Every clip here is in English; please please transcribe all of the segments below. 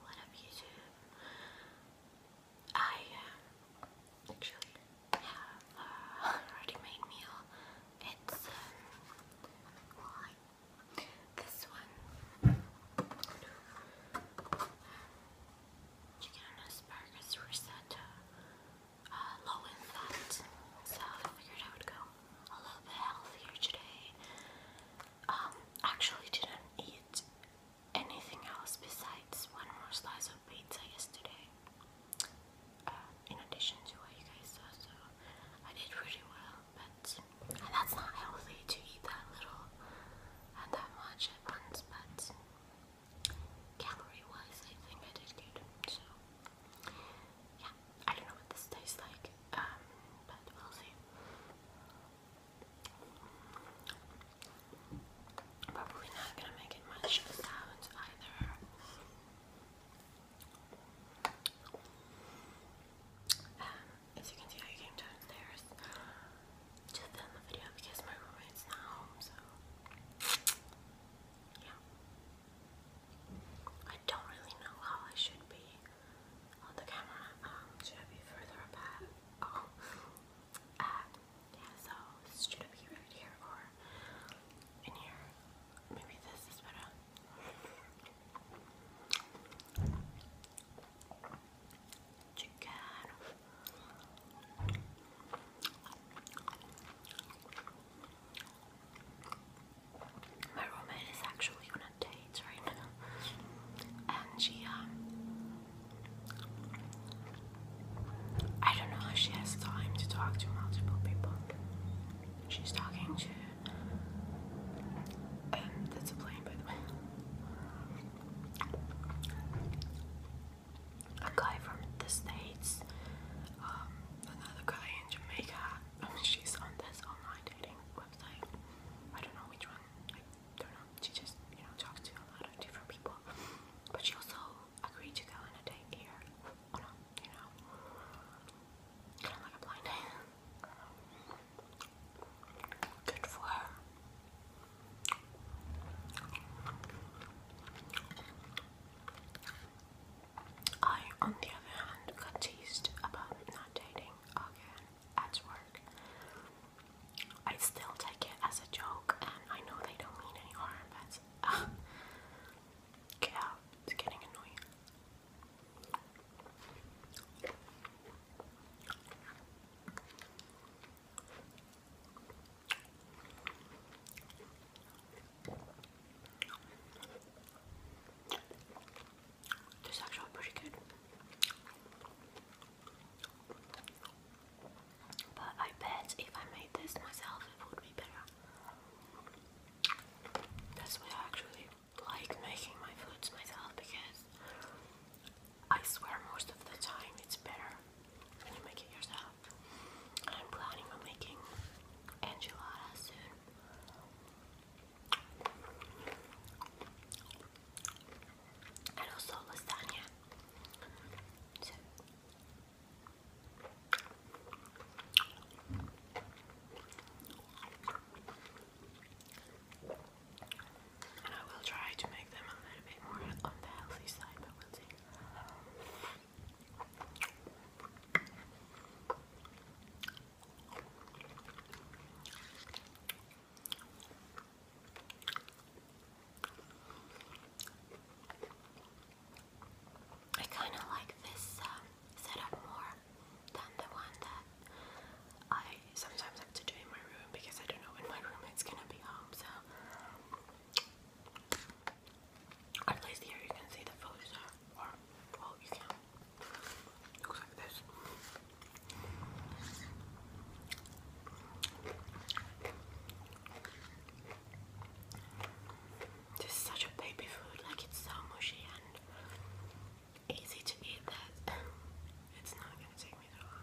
What up YouTube? I um, actually have uh, already made meal. It's um, uh, like this one. Chicken and asparagus risotto. Uh, low in fat. So I figured I would go a little bit healthier today um, actually didn't eat anything else besides one more slice of pizza yesterday. Uh, in addition to what you guys saw, so I did pretty well, but and that's not healthy to eat that little and uh, that much at once, but calorie wise, I think I did good. So, yeah, I don't know what this tastes like, um, but we'll see. Probably not gonna make it much sounds either. Um, as you can see, I came downstairs to film the video because my roommate's not home, so yeah. I don't really know how I should be on the camera. Um, should I be further up Oh. Uh, yeah, so should be right here or in here? Maybe this is better. Chicken. My roommate is actually on a date right now, and she um, I don't know if she has time to talk to multiple people. She's talking to. Um, that's a plane, by the way. A guy from the States, um, another guy in Jamaica. she's on this online dating I don't know which one. I don't know. She just, you know, talks to a lot of different people. But she also agreed to go on a date here. Oh, you know. Kind of like a blind date. Good for her. I, on the other hand, got teased about not dating again at work. I still take it as a joke, and I know they don't mean any harm, but uh, it's getting annoying. This is actually pretty good. But I bet if I made this myself, it would be better. That's why I actually like making my foods myself because I swear most of the time it's better when you make it yourself. And I'm planning on making enchiladas soon and also lasagna. So, I will try to make them a little bit more on the healthy side, but we'll see. I kind of like this um, setup more than the one that I sometimes have to do in my room because I don't know when my roommate's gonna be home. So, at least here you can see the photos, or you can. This is such a baby food, like it's so mushy and easy to eat that it's not gonna take me that long.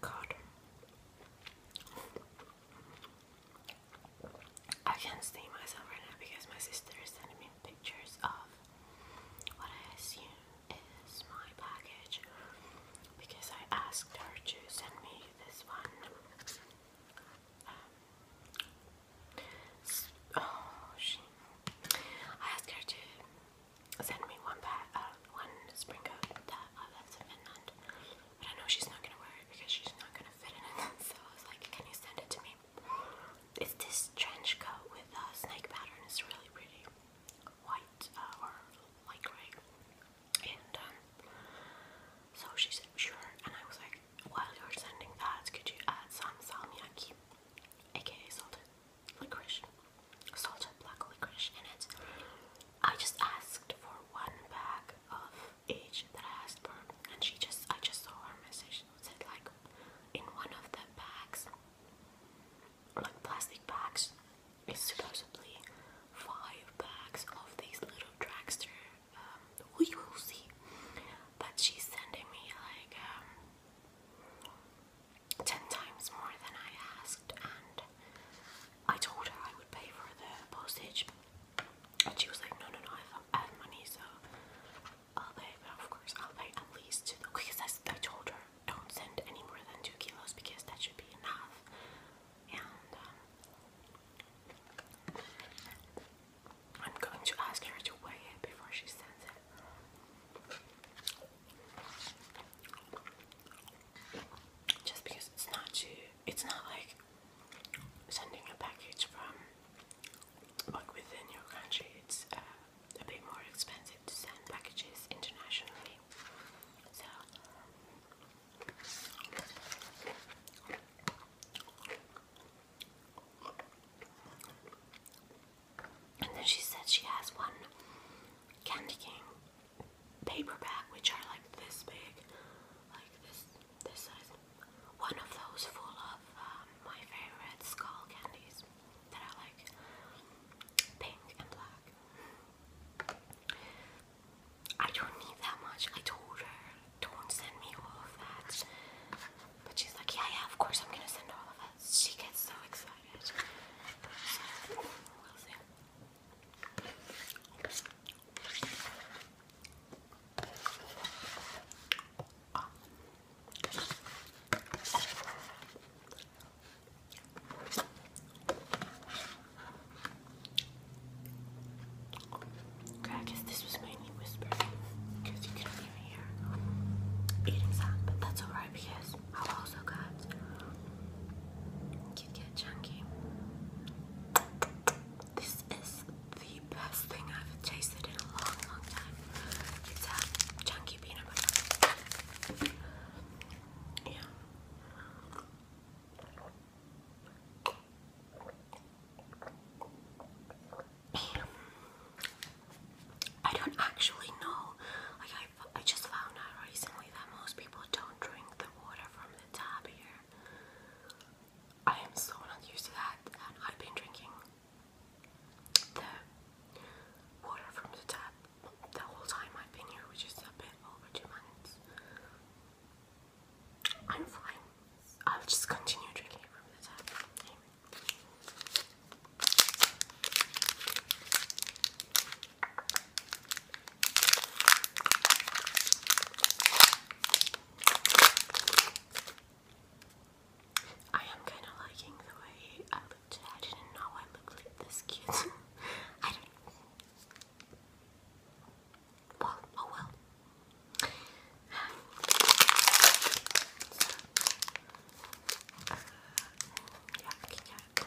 God, I can't see myself right now because my sister is sending me pictures of what I assume is my package because I asked her to send me this one Oh, she. I asked her to send me one pair, uh, one spring coat that I left but I know she's not gonna wear it because she's not gonna fit in it. So I was like, "Can you send it to me?" It's this trench coat with a snake pattern. It's really pretty, white uh, or light gray and um, so she said sure and I was like while you're sending that could you add some salmiakki aka salted licorice salted black licorice in it I just asked for one bag of each that I asked for and she just I just saw her message She said like in one of the bags like plastic bags is supposedly five bags of these little dragster. Um, we will see. But she's sending me like um, ten times more than I asked, and I told her I would pay for the postage, and she was like, "No, no, no, I have money, so I'll pay." But of course, I'll pay at least two. Because I told her, don't send any more than two kilos because that should be enough um, I'm going to ask her to weigh it before she sends it. Just because it's not too, it's not like sending a package from like within your country. It's uh, a bit more expensive to send packages internationally. So and then she said she has one Candy King paperback, which are like this big, like this this size. One of those full of um, my favorite skull candies that are like pink and black. I don't need that much. I told her, don't send me all of that. But she's like, yeah, yeah, of course I'm gonna send all of it. She gets so excited. I guess this was mainly whispering because you couldn't even hear eating sound, but that's alright because i also got Kit Kat Chunky. This is the best thing I've tasted in a long, long time. It's a chunky peanut butter. Yeah. I don't actually know. Like I, I just found out recently that most people don't drink the water from the tap here. I am so not used to that, and I've been drinking the water from the tap the whole time I've been here, which is a bit over two months. I'm fine. I'll just continue drinking from the tap. I am kind of liking the way I look I didn't know I looked like this cute. I don't well, oh well. So, uh, yuck, yuck.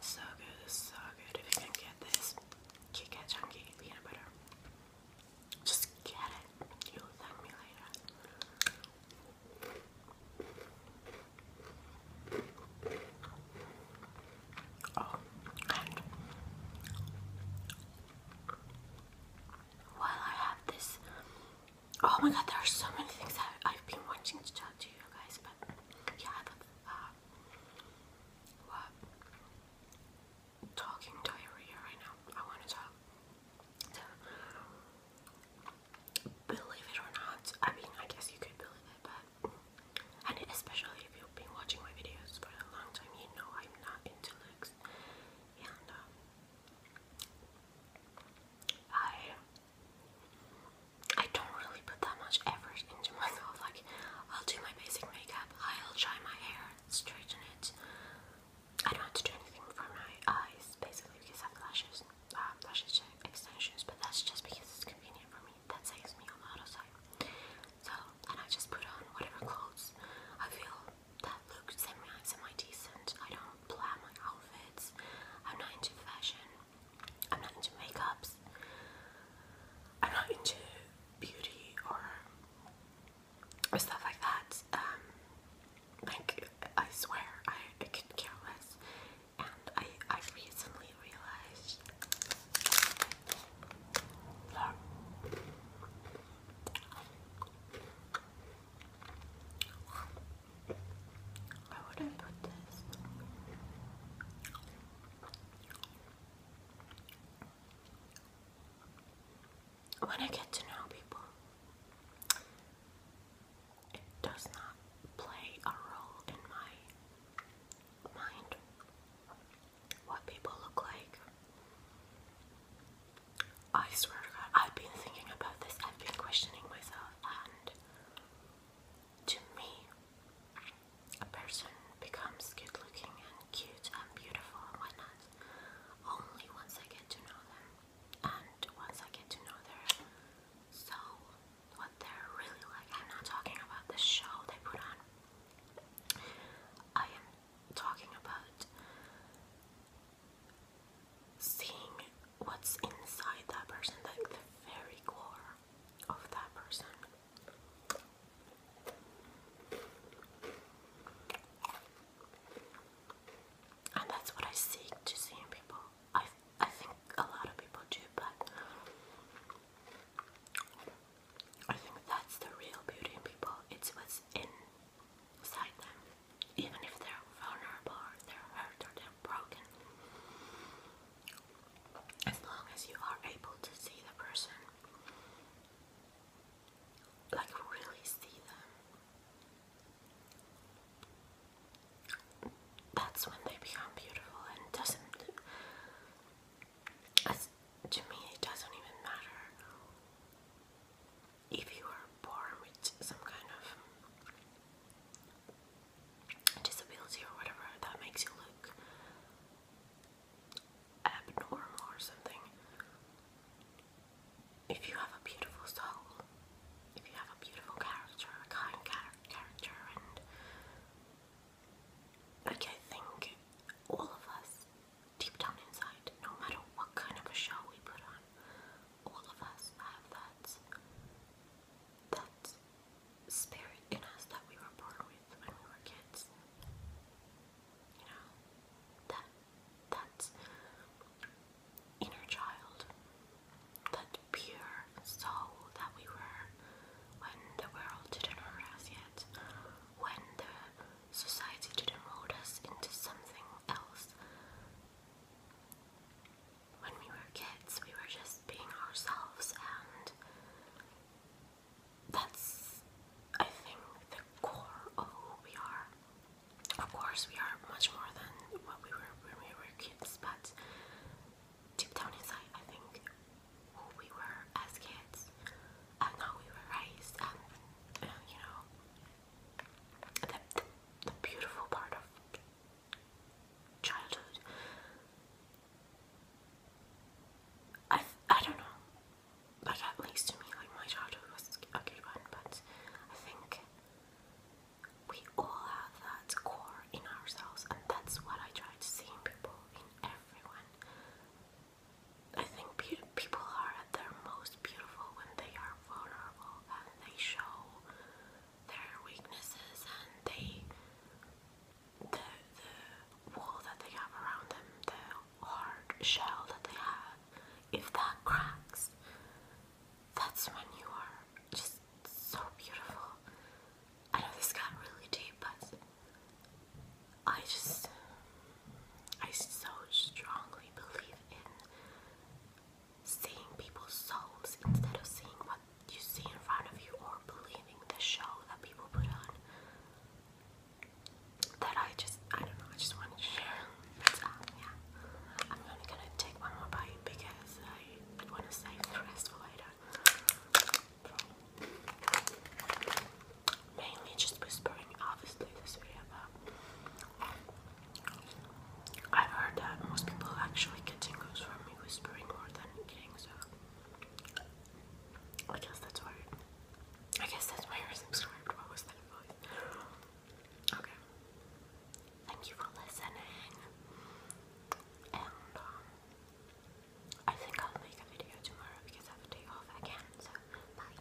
So good, so good. If you can get this Kit Kat Chunky peanut butter, just get it. You'll thank me later. Oh, while I have this Oh my god, there are so many things I've been wanting to talk to you guys, but yeah, uh, Talking diarrhea right now. I want to talk. believe it or not, I mean, I guess you could believe it, but and especially if you've been watching my videos for a long time, you know I'm not into looks, and um, I I don't really put that much effort into myself. Like, I'll do my basic makeup, I'll dry my hair, straighten it. I don't have to do anything for my eyes, basically, because I have lashes, uh, lashes extensions. But that's just because it's convenient for me. That saves me a lot of time. So, and I just put on whatever clothes I feel that look semi-decent. I don't plan my outfits. I'm not into fashion I'm not into makeups. I'm not into beauty or, or stuff like that. Um, like I swear, I, I couldn't care less. And I I recently realized. Where would I put this? When I get to know people, it does not play a role in my mind what people look like. I swear to God, I've been thinking about this, I've been questioning myself, and to me, a person becomes good looking and cute and beautiful and whatnot only once I get to know them and once I get to know their soul, what they're really like. I'm not talking about the show they put on, I am talking about seeing what's inside that person, like the very core of that person. And that's what I seek to see in people. I, I think a lot of people do, but I think that's the real beauty in people. It's what's inside them even if they're vulnerable they're hurt or they're broken. As long as you are able to see the person, like really see them, that's when they become beautiful and doesn't. As, to me, it doesn't even matter if you are born with some kind of disability or whatever that makes you look abnormal or something, if you have a beautiful soul, if you have a beautiful character, a kind character, and like I think all of us, deep down inside, no matter what kind of a show we put on, all of us have that that spirit in us that we were born with when we were kids. You know, that that inner child, that pure soul that we were when the world didn't hurt us yet, when the society didn't mold us into something else when we were kids, we were just being ourselves, and that's, I think, the core of who we are. Of course, we are much more than what we were when we were kids, but deep down inside, I think who we were as kids and how we were raised, uh, you know, the, the, beautiful part of childhood. I I don't know, but at least to me, like my childhood was a good one. But I think we all have that core in ourselves, and that's what I try to see in people, in everyone. I think people are at their most beautiful when they are vulnerable and they show their weaknesses and they the the wall that they have around them, the hard shell that they have, if that cracks, that's when you are just so beautiful. I know this got really deep, but I just I so strongly believe in seeing people's souls instead of seeing what you see in front of you or believing the show that people put on. That I just, I don't know, I just wanted to share. yeah. I'm only gonna take one more bite because I want to save the rest for later. Mainly just whispering, obviously, this video, but I've heard that most people actually get tingles from me whispering more than eating, so I guess that's why. I guess that's why you're subscribed. What was that voice? Okay. Thank you for listening. And um, I think I'll make a video tomorrow because I have a day off again. So bye.